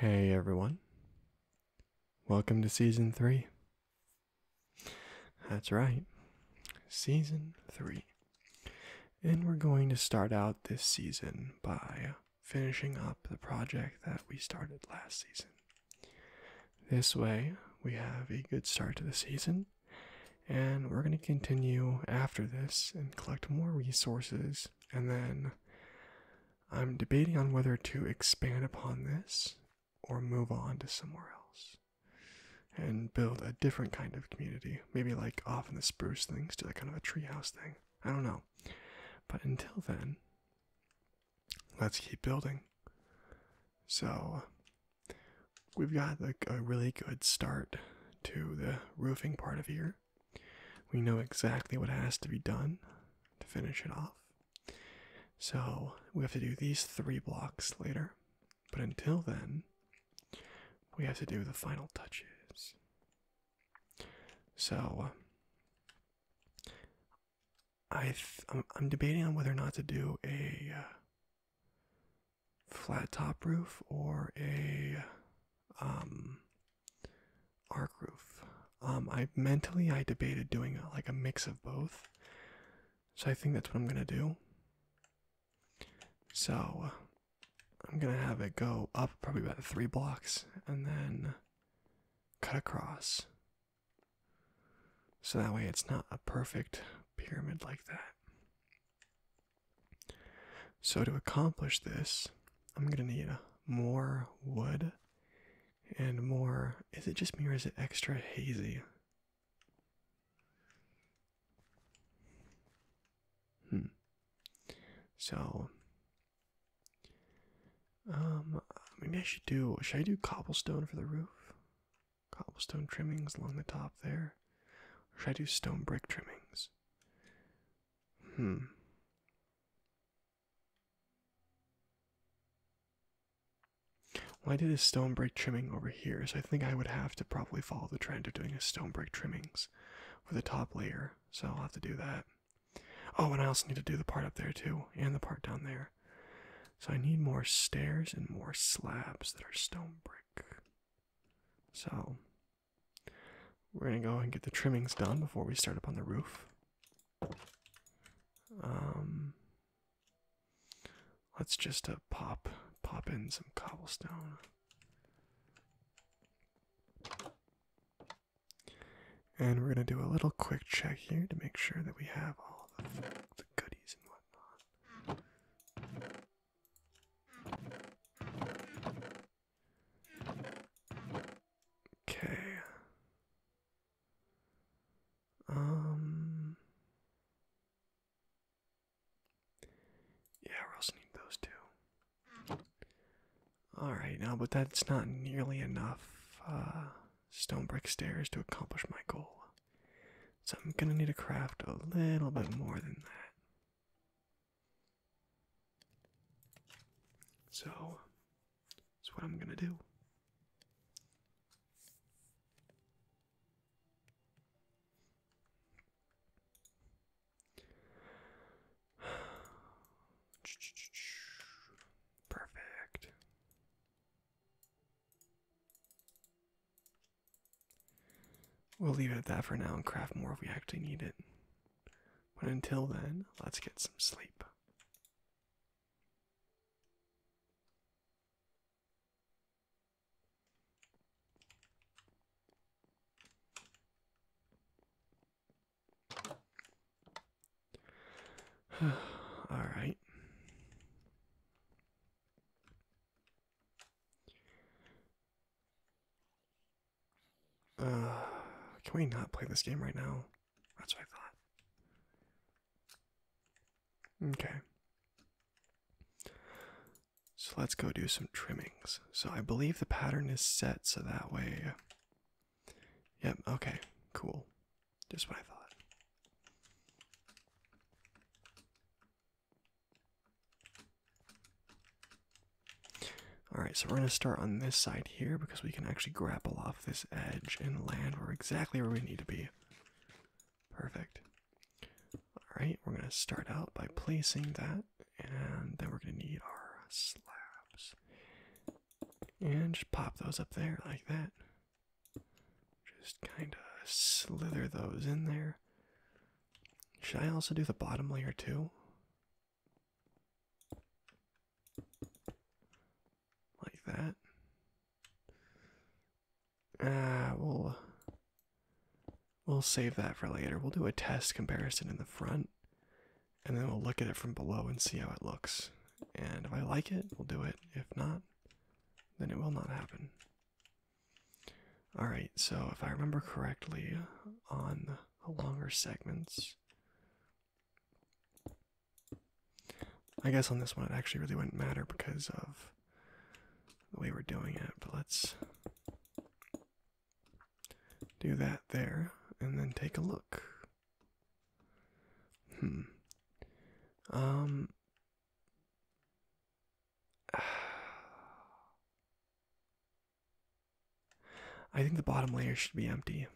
Hey everyone. Welcome to season 3. That's right. Season 3. And we're going to start out this season by finishing up the project that we started last season. This way, we have a good start to the season and we're going to continue after this and collect more resources and then i'm debating on whether to expand upon this or move on to somewhere else and build a different kind of community maybe like off in the spruce things to that kind of a treehouse thing i don't know but until then let's keep building so we've got a really good start to the roofing part of here. We know exactly what has to be done to finish it off. So we have to do these three blocks later. But until then, we have to do the final touches. So I I'm, debating on whether or not to do a uh, flat top roof or a um arc roof. Um, I mentally I debated doing like a mix of both, so I think that's what I'm gonna do. So I'm gonna have it go up probably about three blocks and then cut across. So that way it's not a perfect pyramid like that. So, to accomplish this, I'm going to need more wood and more. Is it just me or is it extra hazy? Hmm. So, um, maybe I should do. Should I do cobblestone for the roof? Cobblestone trimmings along the top there. should I do stone brick trimmings? Hmm. Well, did a stone brick trimming over here, so I think I would have to probably follow the trend of doing a stone brick trimmings for the top layer, so I'll have to do that. Oh, and I also need to do the part up there too, and the part down there. So I need more stairs and more slabs that are stone brick. So we're gonna go and get the trimmings done before we start up on the roof. Um, let's just uh, pop pop in some cobblestone. And we're going to do a little quick check here to make sure that we have all the goodies and whatnot. Okay. Um. Yeah, we also need those two. Alright, now, but that's not nearly enough uh, stone brick stairs to accomplish my goal. So I'm gonna need to craft a little bit more than that. So, that's what I'm gonna do. Perfect. We'll leave it at that for now and craft more if we actually need it. But until then, let's get some sleep. All right. Uh, can we not play this game right now? That's what I thought. Okay. So let's go do some trimmings. So I believe the pattern is set so that way. Yep, okay, cool. Just what I thought. Alright, so we're going to start on this side here because we can actually grapple off this edge and land We're exactly where we need to be. Perfect. Alright, we're going to start out by placing that, and then we're going to need our slabs. And just pop those up there like that. Just kind of slither those in there. Should I also do the bottom layer too? Like that. Ah, we'll uh, we'll save that for later. We'll do a test comparison in the front, and then we'll look at it from below and see how it looks. And if I like it, we'll do it. If not, then it will not happen. All right. So if I remember correctly, on longer segments. I guess on this one it actually really wouldn't matter because of the way we're doing it, but let's do that there and then take a look. Hmm. Um. I think the bottom layer should be empty.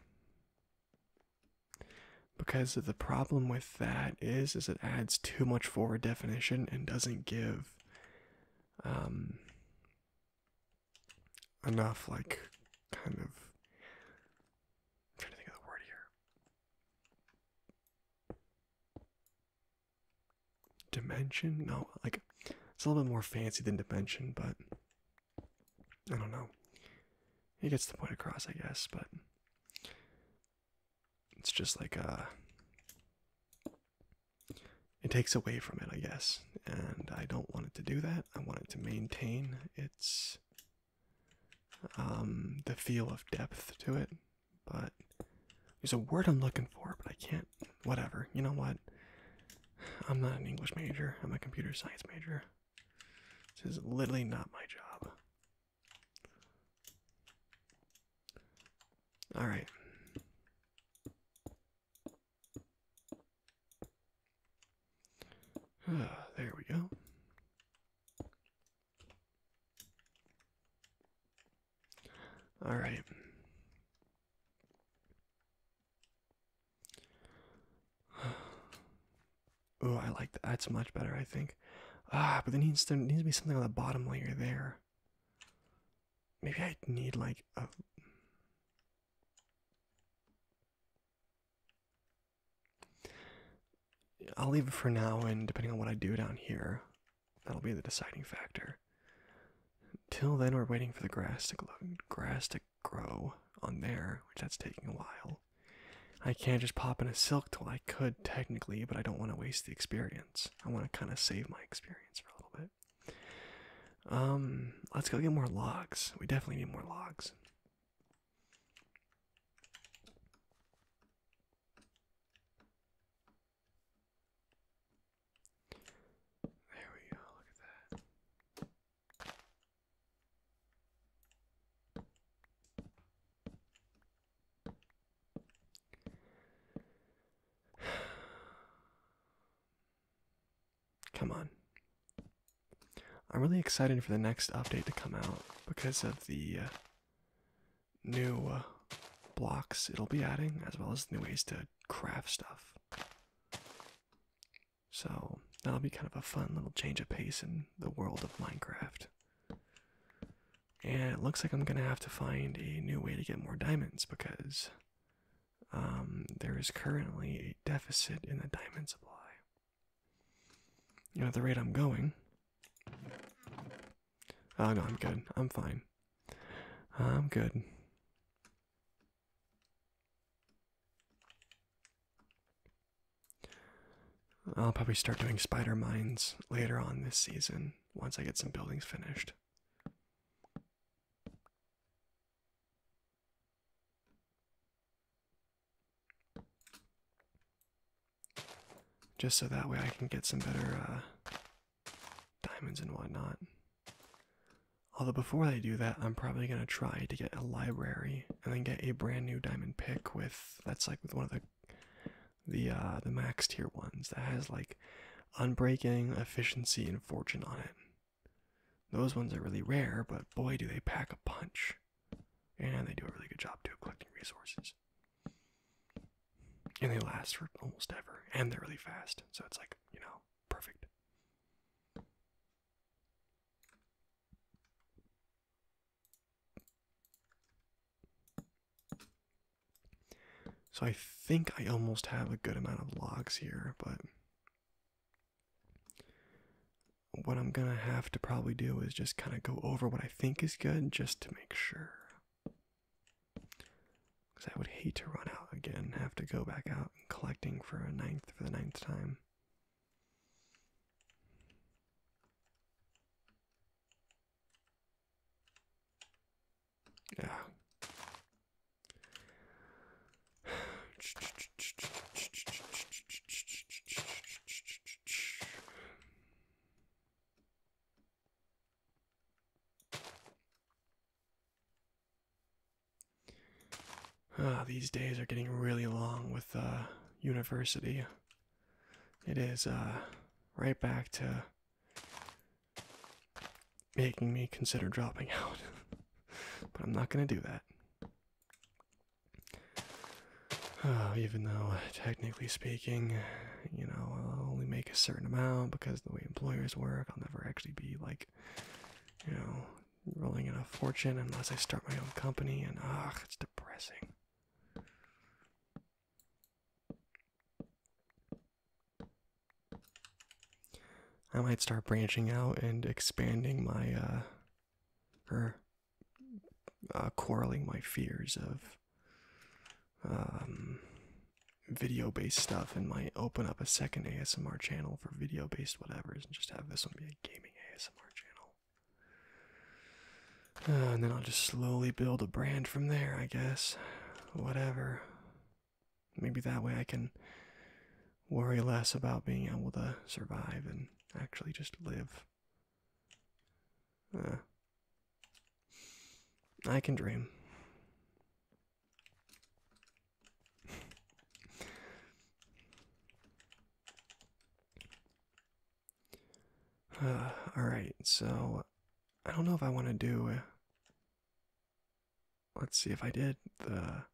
Because the problem with that is is it adds too much forward definition and doesn't give um, enough like kind of trying to think of the word here dimension no like it's a little bit more fancy than dimension but i don't know it gets the point across i guess but it's just like uh it takes away from it i guess and i don't want it to do that i want it to maintain its um the feel of depth to it but there's a word i'm looking for but i can't Whatever. You know what? I'm not an English major. I'm a computer science major. This is literally not my job. All right. there we go. All right. Oh, I like that. That's much better, I think. Ah, but there needs to needs to be something on the bottom layer there. Maybe I need like a. I'll leave it for now, and depending on what I do down here, that'll be the deciding factor. Until then, we're waiting for the grass to grass to grow on there, which that's taking a while. I can't just pop in a silk till I could technically, but I don't want to waste the experience. I want to kind of save my experience for a little bit. Um, let's go get more logs. We definitely need more logs. There we go, look at that. Come on. I'm really excited for the next update to come out because of the uh, new uh, blocks it'll be adding, as well as new ways to craft stuff. So that'll be kind of a fun little change of pace in the world of Minecraft. And it looks like I'm gonna have to find a new way to get more diamonds because um, there is currently a deficit in the diamond supply. You know, at the rate I'm going. Oh no, I'm good. I'm fine. I'm good. I'll probably start doing spider mines later on this season once I get some buildings finished. Just so that way I can get some better uh, diamonds and whatnot. Although before they do that, I'm probably gonna try to get a library and then get a brand new diamond pick with that's like with one of the the uh, the max tier ones that has like unbreaking, efficiency, and fortune on it. Those ones are really rare, but boy do they pack a punch. And they do a really good job too of collecting resources. And they last for almost ever. And they're really fast. So it's like, you know, Perfect. So I think I almost have a good amount of logs here, but what I'm gonna have to probably do is just kind of go over what I think is good just to make sure. Because I would hate to run out again have to go back out and collecting for a ninth for the ninth time. Yeah. Ah, these days are getting really long with uh, university. It is uh, right back to making me consider dropping out, but I'm not going to do that. Oh, even though, technically speaking, you know, I'll only make a certain amount because the way employers work, I'll never actually be like you know, rolling in a fortune unless I start my own company, and ugh, it's depressing. I might start branching out and expanding my, uh, or uh, quarreling my fears of um, video based stuff and might open up a second ASMR channel for video based whatever, and just have this one be a gaming ASMR channel. Uh, and then I'll just slowly build a brand from there, I guess. Whatever. Maybe that way I can worry less about being able to survive and actually just live. Uh, I can dream. all right, so I don't know if I want to do. Let's see if I did the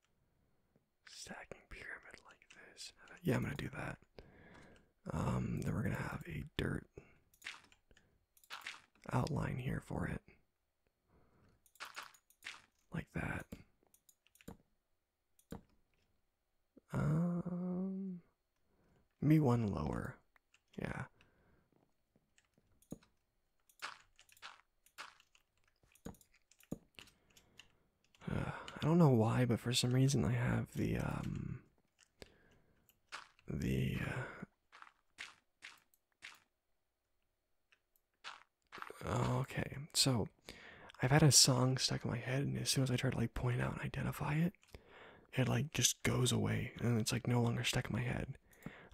stacking pyramid like this. Yeah, I'm gonna do that. Um, then we're gonna have a dirt outline here for it like that. Um, me one lower. Yeah. Uh, I don't know why, but for some reason I have the um the uh, Okay, so I've had a song stuck in my head, and as soon as I try to like point it out and identify it, it like just goes away, and it's like no longer stuck in my head.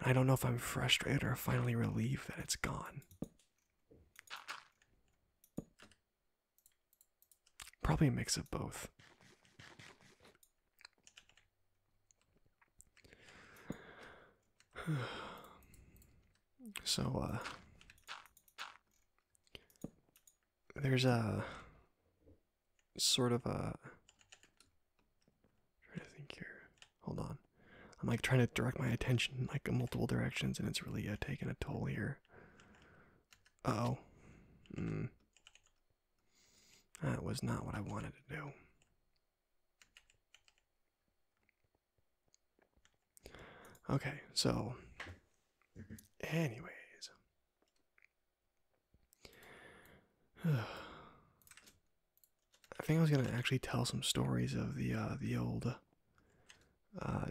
I don't know if I'm frustrated or finally relieved that it's gone. Probably a mix of both. So, uh, there's a sort of a. I'm to think here. Hold on. I'm like trying to direct my attention like multiple directions, and it's really uh, taking a toll here. oh. That was not what I wanted to do. Okay, so, anyways. I think I was gonna actually tell some stories of the uh, the old. Uh,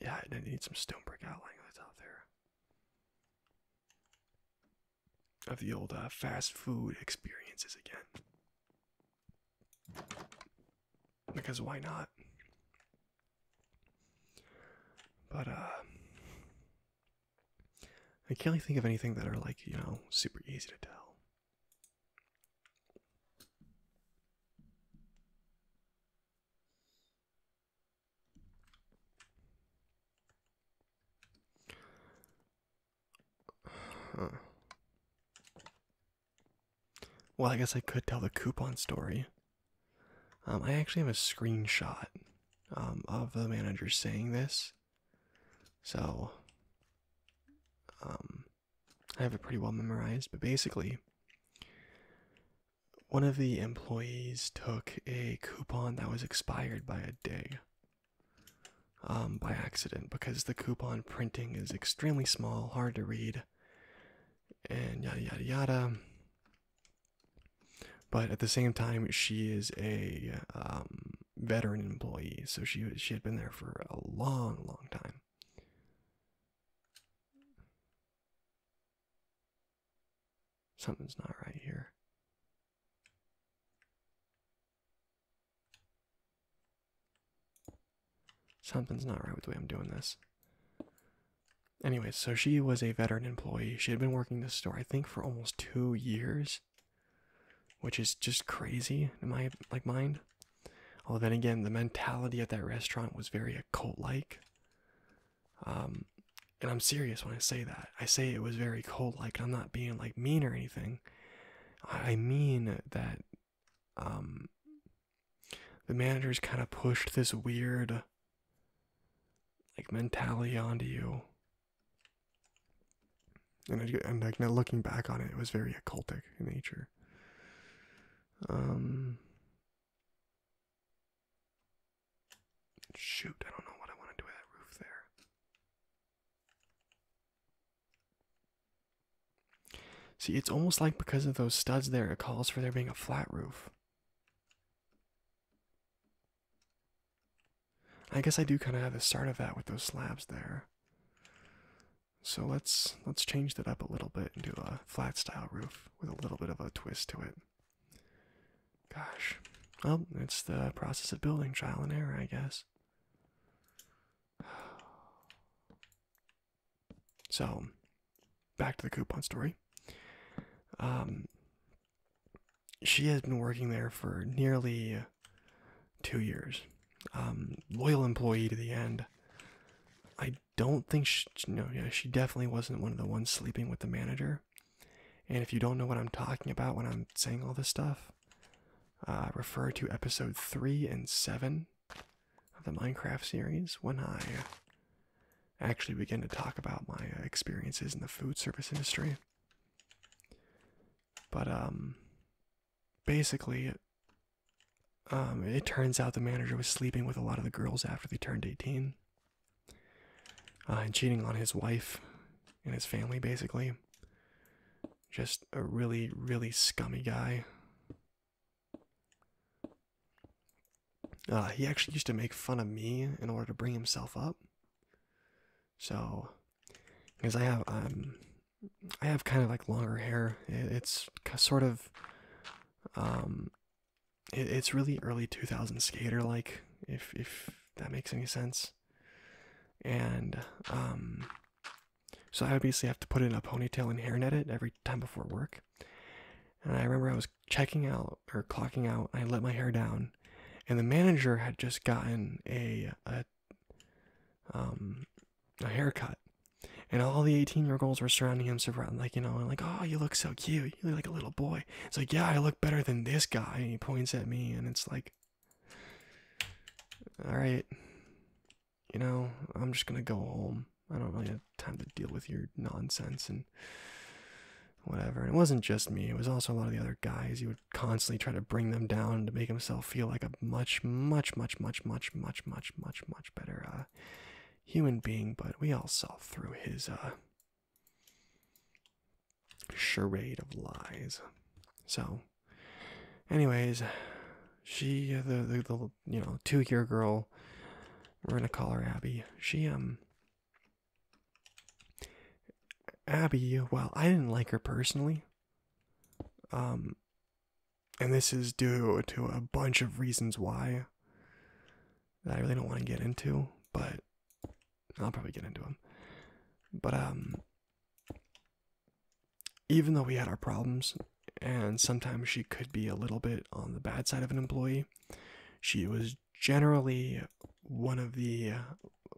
yeah, I need some stone brick outlining out there of the old uh, fast food experiences again. Because why not? But, uh, I can't really think of anything that are like, you know, super easy to tell. Well, I guess I could tell the coupon story. Um, I actually have a screenshot um, of the manager saying this. So, um, I have it pretty well memorized, but basically, one of the employees took a coupon that was expired by a day um, by accident because the coupon printing is extremely small, hard to read, and yada yada yada. But at the same time, she is a um, veteran employee, so she she had been there for a long, long time. Something's not right here. Something's not right with the way I'm doing this. Anyway, so she was a veteran employee. She had been working this store, I think, for almost two years, which is just crazy in my like mind. Although then again, the mentality at that restaurant was very occult-like. Um, and I'm serious when I say that. I say it was very cult-like. I'm not being like mean or anything. I mean that um, the managers kind of pushed this weird like mentality onto you. And, I, and looking back on it, it was very occultic in nature. Um, shoot, I don't know what I want to do with that roof there. See, it's almost like because of those studs there, it calls for there being a flat roof. I guess I do kind of have the start of that with those slabs there. So let's let's change that up a little bit and do a flat style roof with a little bit of a twist to it. Gosh. Well, it's the process of building trial and error, I guess. So, back to the coupon story. Um, she has been working there for nearly two years. Um, loyal employee to the end. I don't think she, no, yeah, she definitely wasn't one of the ones sleeping with the manager. And if you don't know what I'm talking about when I'm saying all this stuff, uh, refer to episode 3 and 7 of the Minecraft series when I actually begin to talk about my experiences in the food service industry. But, um, basically, um, it turns out the manager was sleeping with a lot of the girls after they turned 18 uh, and cheating on his wife and his family, basically. Just a really, really scummy guy. Uh, he actually used to make fun of me in order to bring himself up. So, because I have um, I have kind of like longer hair. It's sort of um, it's really early 2000s skater like, if if that makes any sense. And um, so I obviously have to put in a ponytail and hairnet it every time before work. And I remember I was checking out or clocking out. And I let my hair down, and the manager had just gotten a a um a haircut, and all the eighteen-year-olds were surrounding him, like you know, like, oh, you look so cute. You look like a little boy. It's like, yeah, I look better than this guy. And he points at me, and it's like, Alright. You know, I'm just gonna go home. I don't really have time to deal with your nonsense and whatever. And it wasn't just me, it was also a lot of the other guys. He would constantly try to bring them down to make himself feel like a much, much, much, much, much, much, much, much, much better uh, human being. But we all saw through his uh, charade of lies. So Anyways, she the the, the you know two year girl, we're gonna call her Abby. She um. Abby, well, I didn't like her personally. Um, and this is due to a bunch of reasons why I really don't want to get into, but I'll probably get into them. But um, even though we had our problems, and sometimes she could be a little bit on the bad side of an employee, she was generally one of the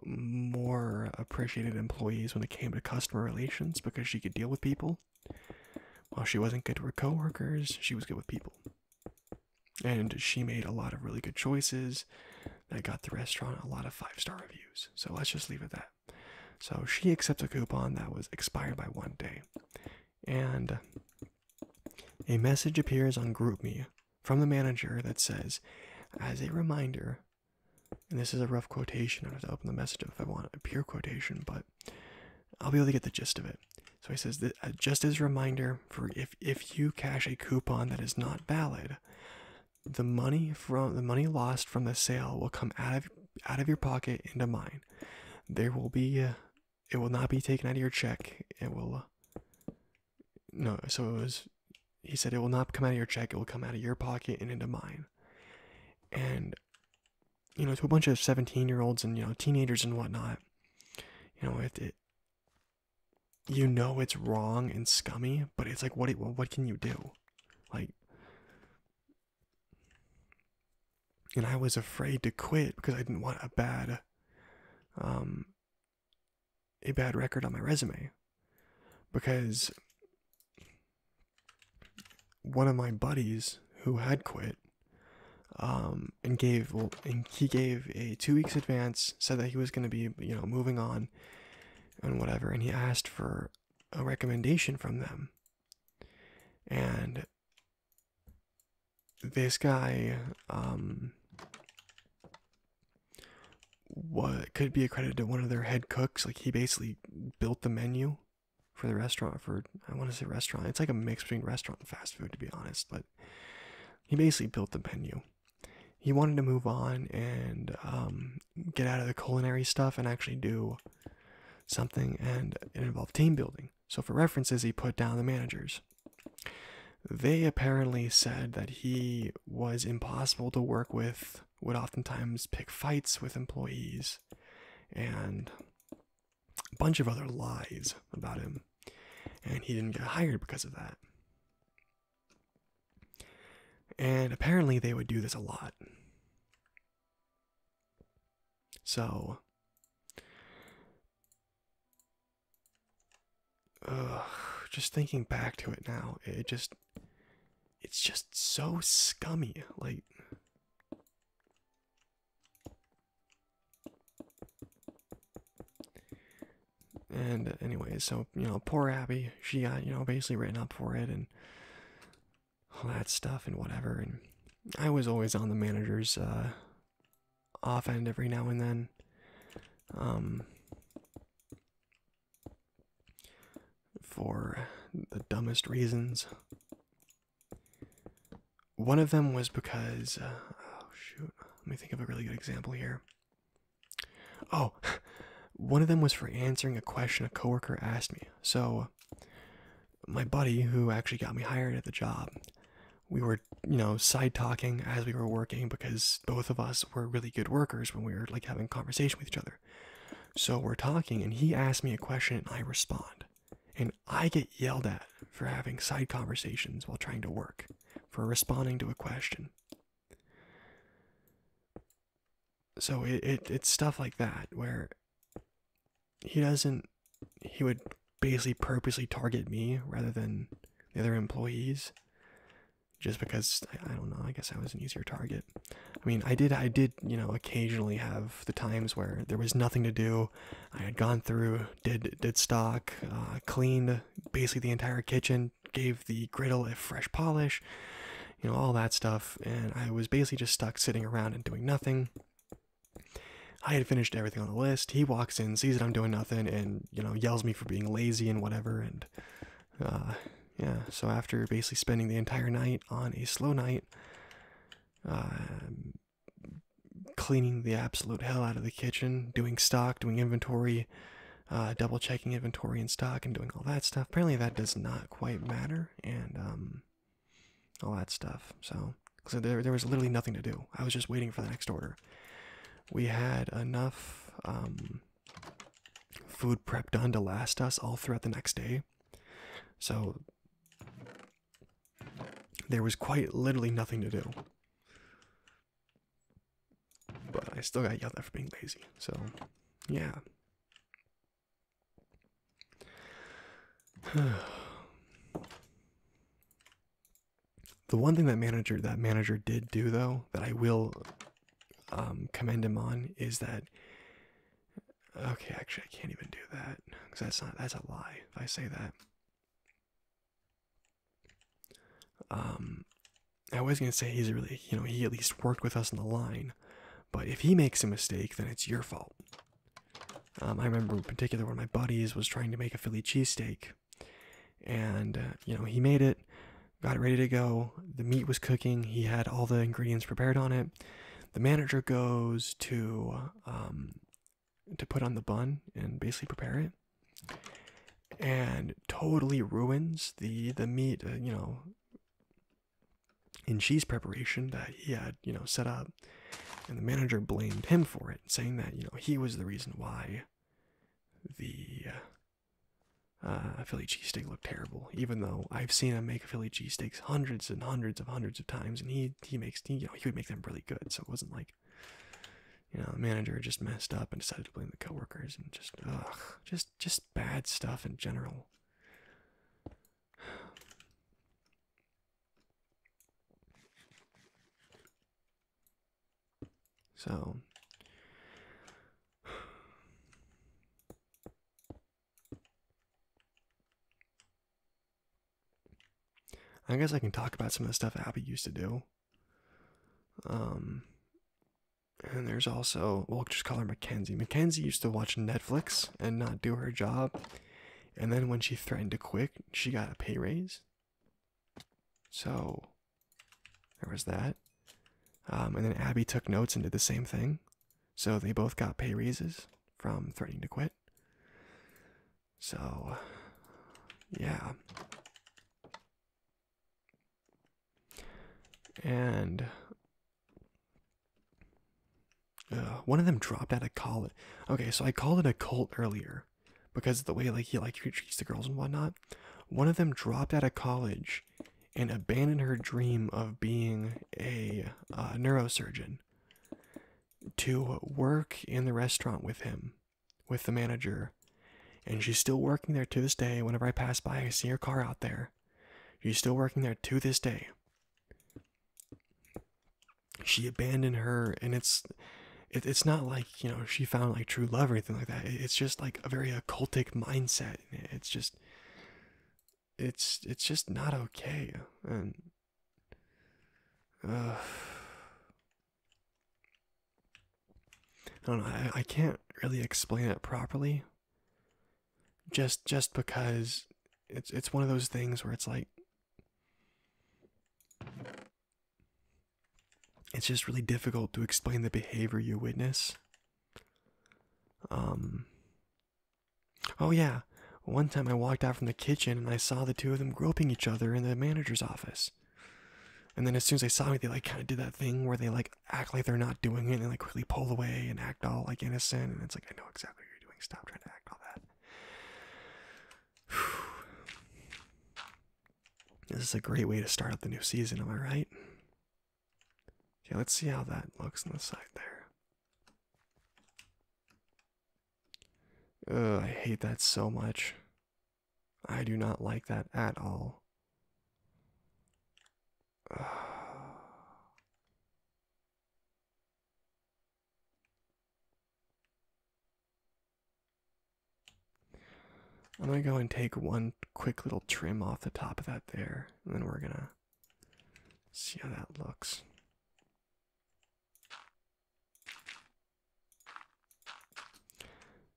more appreciated employees when it came to customer relations because she could deal with people. While she wasn't good with her coworkers, she was good with people. And she made a lot of really good choices that got the restaurant a lot of five star reviews. So let's just leave it at that. So she accepts a coupon that was expired by one day. And a message appears on GroupMe from the manager that says, as a reminder, and this is a rough quotation, I have to open the message if I want a pure quotation, but I'll be able to get the gist of it. So he says, that, uh, just as a reminder, for if, if you cash a coupon that is not valid, the money from the money lost from the sale will come out of out of your pocket into mine. There will be uh, it will not be taken out of your check. It will uh, no. So it was. He said it will not come out of your check. It will come out of your pocket and into mine. And you know, to a bunch of seventeen-year-olds and you know teenagers and whatnot, you know it, You know it's wrong and scummy, but it's like what? What can you do? Like and I was afraid to quit because I didn't want a bad um a bad record on my resume because one of my buddies who had quit um and gave well and he gave a 2 weeks advance said that he was going to be you know moving on and whatever and he asked for a recommendation from them. And this guy um what could be accredited to one of their head cooks like he basically built the menu for the restaurant for i want to say restaurant it's like a mix between restaurant and fast food to be honest but he basically built the menu he wanted to move on and um get out of the culinary stuff and actually do something, and it involved team building. So, for references, he put down the managers. They apparently said that he was impossible to work with, would oftentimes pick fights with employees, and a bunch of other lies about him. And he didn't get hired because of that. And apparently, they would do this a lot. So. just thinking back to it now, it just. It's just so scummy. Like. And, anyway, so, you know, poor Abby, she got, you know, basically written up for it, and all that stuff and whatever. And I was always on the manager's uh, off end every now and then. Um, for the dumbest reasons. One of them was because, uh, oh shoot, let me think of a really good example here. Oh, one of them was for answering a question a coworker asked me. So, my buddy who actually got me hired at the job we were you know side talking as we were working because both of us were really good workers when we were like having conversation with each other so we're talking and he asks me a question and i respond and i get yelled at for having side conversations while trying to work for responding to a question so it, it it's stuff like that where he doesn't he would basically purposely target me rather than the other employees just because I, don't know i guess i was an easier target i mean i did i did you know occasionally have the times where there was nothing to do i had gone through did did stock uh, cleaned basically the entire kitchen gave the griddle a fresh polish you know, all that stuff. And I was basically just stuck sitting around and doing nothing. I had finished everything on the list. He walks in, sees that I'm doing nothing, and, you know, yells me for being lazy and whatever. And, uh, yeah, so after basically spending the entire night on a slow night, um, cleaning the absolute hell out of the kitchen, doing stock, doing inventory, uh, double checking inventory and stock, and doing all that stuff. Apparently, that does not quite matter, and um, all that stuff. So, so there, there was literally nothing to do. I was just waiting for the next order. We had enough um, food prep done to last us all throughout the next day. So there was quite literally nothing to do. But I still got yelled at for being lazy. So, yeah. the one thing that manager that manager did do though that I will um, commend him on is that okay actually I can't even do that because that's not that's a lie if I say that um, I was gonna say he's really you know he at least worked with us in the line but if he makes a mistake, then it's your fault. Um, I remember in particular one of my buddies was trying to make a Philly cheesesteak. And, uh, you know, he made it, got it ready to go. The meat was cooking. He had all the ingredients prepared on it. The manager goes to um, to put on the bun and basically prepare it, and totally ruins the the meat. Uh, you know, in cheese preparation that he had, you know, set up. And the manager blamed him for it, saying that, you know, he was the reason why the uh, uh Philly steak looked terrible, even though I've seen him make Philly cheese cheesesteaks hundreds and hundreds of hundreds of times, and he he makes you know he would make them really good. So it wasn't like, you know, the manager just messed up and decided to blame the coworkers and just just just bad stuff in general. So I guess I can talk about some of the stuff Abby used to do. Um, and there's also, we'll just call her Mackenzie. Mackenzie used to watch Netflix and not do her job. And then when she threatened to quit, she got a pay raise. So there was that. Um, and then Abby took notes and did the same thing. So they both got pay raises from threatening to quit. So, yeah. And one of them dropped out of college. Okay, so I called it a cult earlier because the way like he like treats the girls and whatnot. One of them dropped out of college and abandoned her dream of being a uh, neurosurgeon to work in the restaurant with him, with the manager. And she's still working there to this day. Whenever I pass by, I see her car out there. She's still working there to this day she abandoned her and it's it's not like you know she found like true love or anything like that it's just like a very occultic mindset it's just it's it's just not okay and I don't know I, I can't really explain it properly just just because it's it's one of those things where it's like it's just really difficult to explain the behavior you witness. Um Oh yeah, one time I walked out from the kitchen and I saw the two of them groping each other in the manager's office. And then as soon as they saw me, they like kind of did that thing where they like act like they're not doing it and they like quickly pull away and act all like innocent. And it's like I know exactly doing. Stop trying to act on that. This is a great way to start up the new season, am I right? Okay, let's see how that looks on the side there. Ugh, I hate that so much. I do not like that at all. I'm gonna go and take one quick little trim off the top of that there, and then we're gonna see how that looks.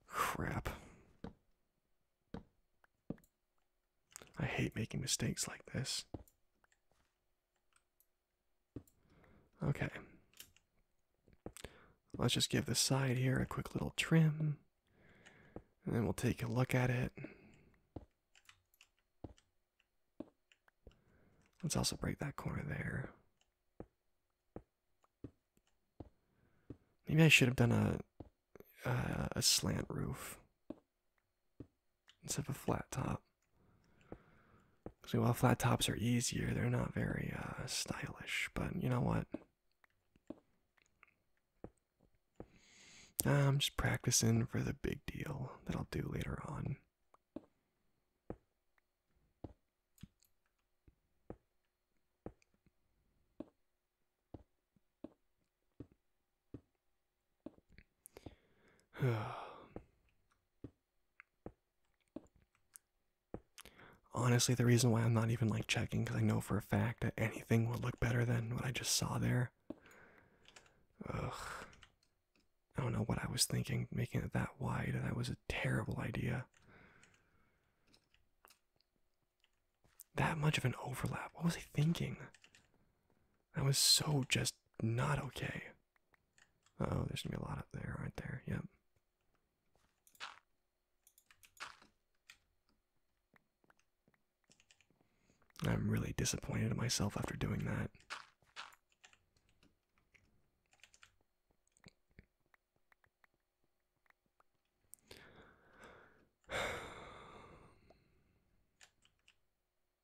Crap. I hate making mistakes like this. Okay. Let's just give the side here a quick little trim. And then we'll take a look at it. Let's also break that corner there. Maybe I should have done a a slant roof instead of a flat top. Because while flat tops are easier, they're not very uh, stylish. But you know what? Ah, I'm just practicing for the big deal that I'll do later on. Honestly, the reason why I'm not even like checking because I know for a fact that anything would look better than what I just saw there. Ugh. I don't know what I was thinking making it that wide. That was a terrible idea. That much of an overlap. What was I thinking? That was so just not okay. oh, there's gonna be a lot up there, aren't there. Yep. I'm really disappointed in myself after doing that.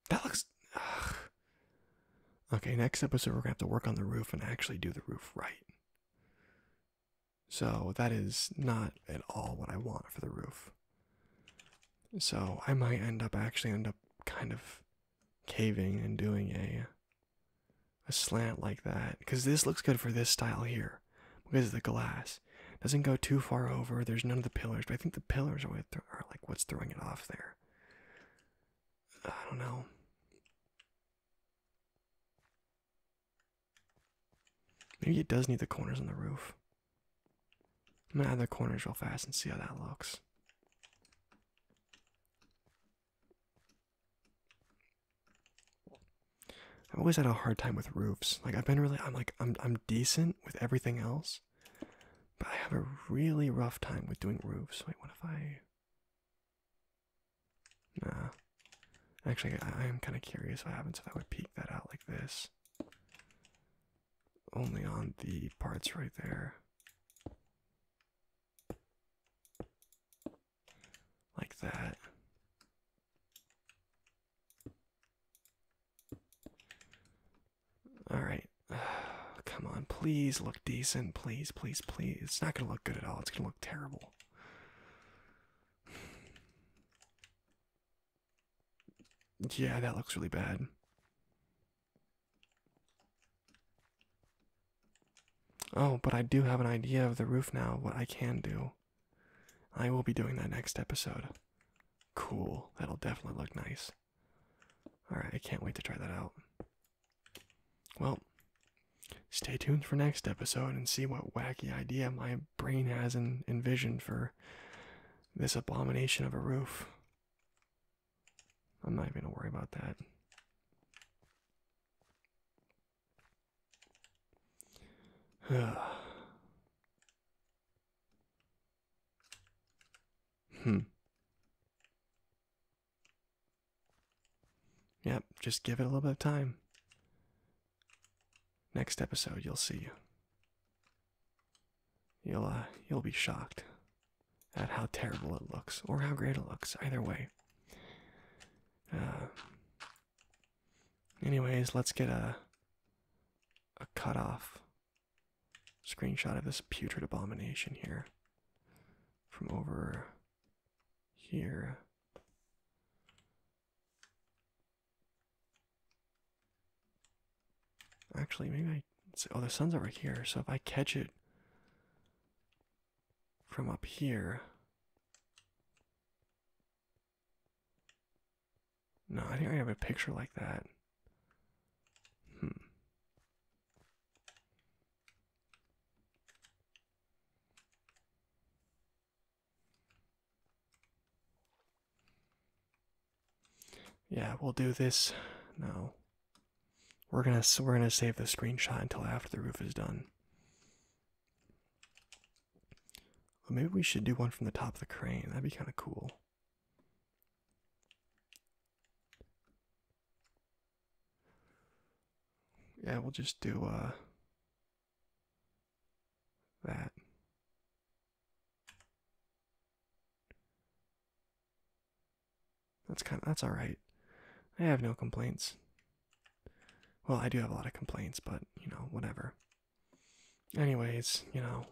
That looks. Okay, next episode, we're going to have to work on the roof and actually do the roof right. So, that is not at all what I want for the roof. So, I might end up actually end up kind of caving and doing a a slant like that because this looks good for this style here because the glass doesn't go too far over there's none of the pillars but i think the pillars are like what's throwing it off there I don't know. Maybe it does need the corners on the roof. I'm gonna add the corners real fast and see how that looks. I've always had a hard time with roofs. Like I've been really I'm like I'm I'm decent with everything else. But I have a really rough time with doing roofs. Wait, what if I. Nah. Actually, I, am kind of curious what happens if I would peek that out like this. Only on the parts right there. Like that. All right. Come on, please look decent. Please, please, please. It's not going to look good at all. It's going to look terrible. Yeah, that looks really bad. Oh, but I do have an idea of the roof now, what I can do. I will be doing that next episode. Cool. That'll definitely look nice. Alright, I can't wait to try that out. Well, stay tuned for next episode and see what wacky idea my brain has in, envisioned for this abomination of a roof. I'm not even gonna worry about that. Hmm. Yep, just give it a little bit of time. Next episode, you'll see. You'll uh, you'll be shocked at how terrible it looks or how great it looks. Either way. Uh, anyways, let's get a a cutoff screenshot of this putrid abomination here from over here. Actually, maybe I. Oh, the sun's over here, so if I catch it from up here. No, I think I have a picture like that. Hmm. Yeah, we'll do this. No. We're gonna we're gonna save the screenshot until after the roof is done. Well, maybe we should do one from the top of the crane. That'd be kind of cool. Yeah, we'll just do uh that. That's kind of that's all right. I have no complaints. Well, I do have a lot of complaints, but you know, whatever. Anyways, you know,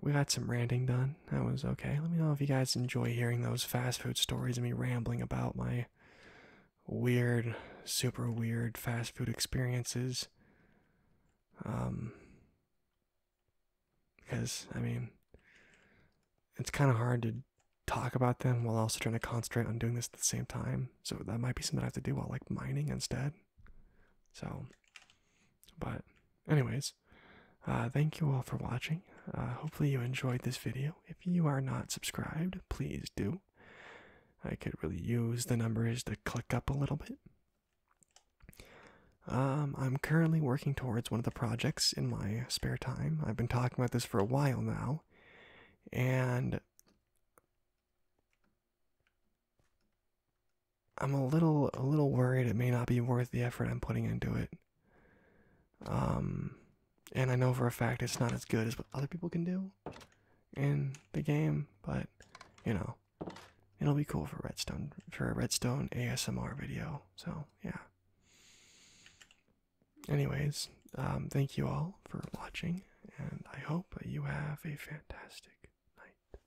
we got some ranting done. That was okay. Let me know if you guys enjoy hearing those fast food stories and me rambling about my weird, super weird fast food experiences. Um, because, I mean, it's kind of hard to talk about them while also trying to concentrate on doing this at the same time. So that might be something I have to do while like mining instead. So but, anyways, uh, thank you all for watching. Uh, hopefully, you enjoyed this video. If you are not subscribed, please do. I could really use the numbers to click up a little bit. Um, I'm currently working towards one of the projects in my spare time. I've been talking about this for a while now, and I'm a little a little worried it may not be worth the effort I'm putting into it. Um, and I know for a fact it's not as good as what other people can do in the game, but you know, it'll be cool for Redstone for a Redstone ASMR video. So yeah. Anyways, um, thank you all for watching, and I hope you have a fantastic night.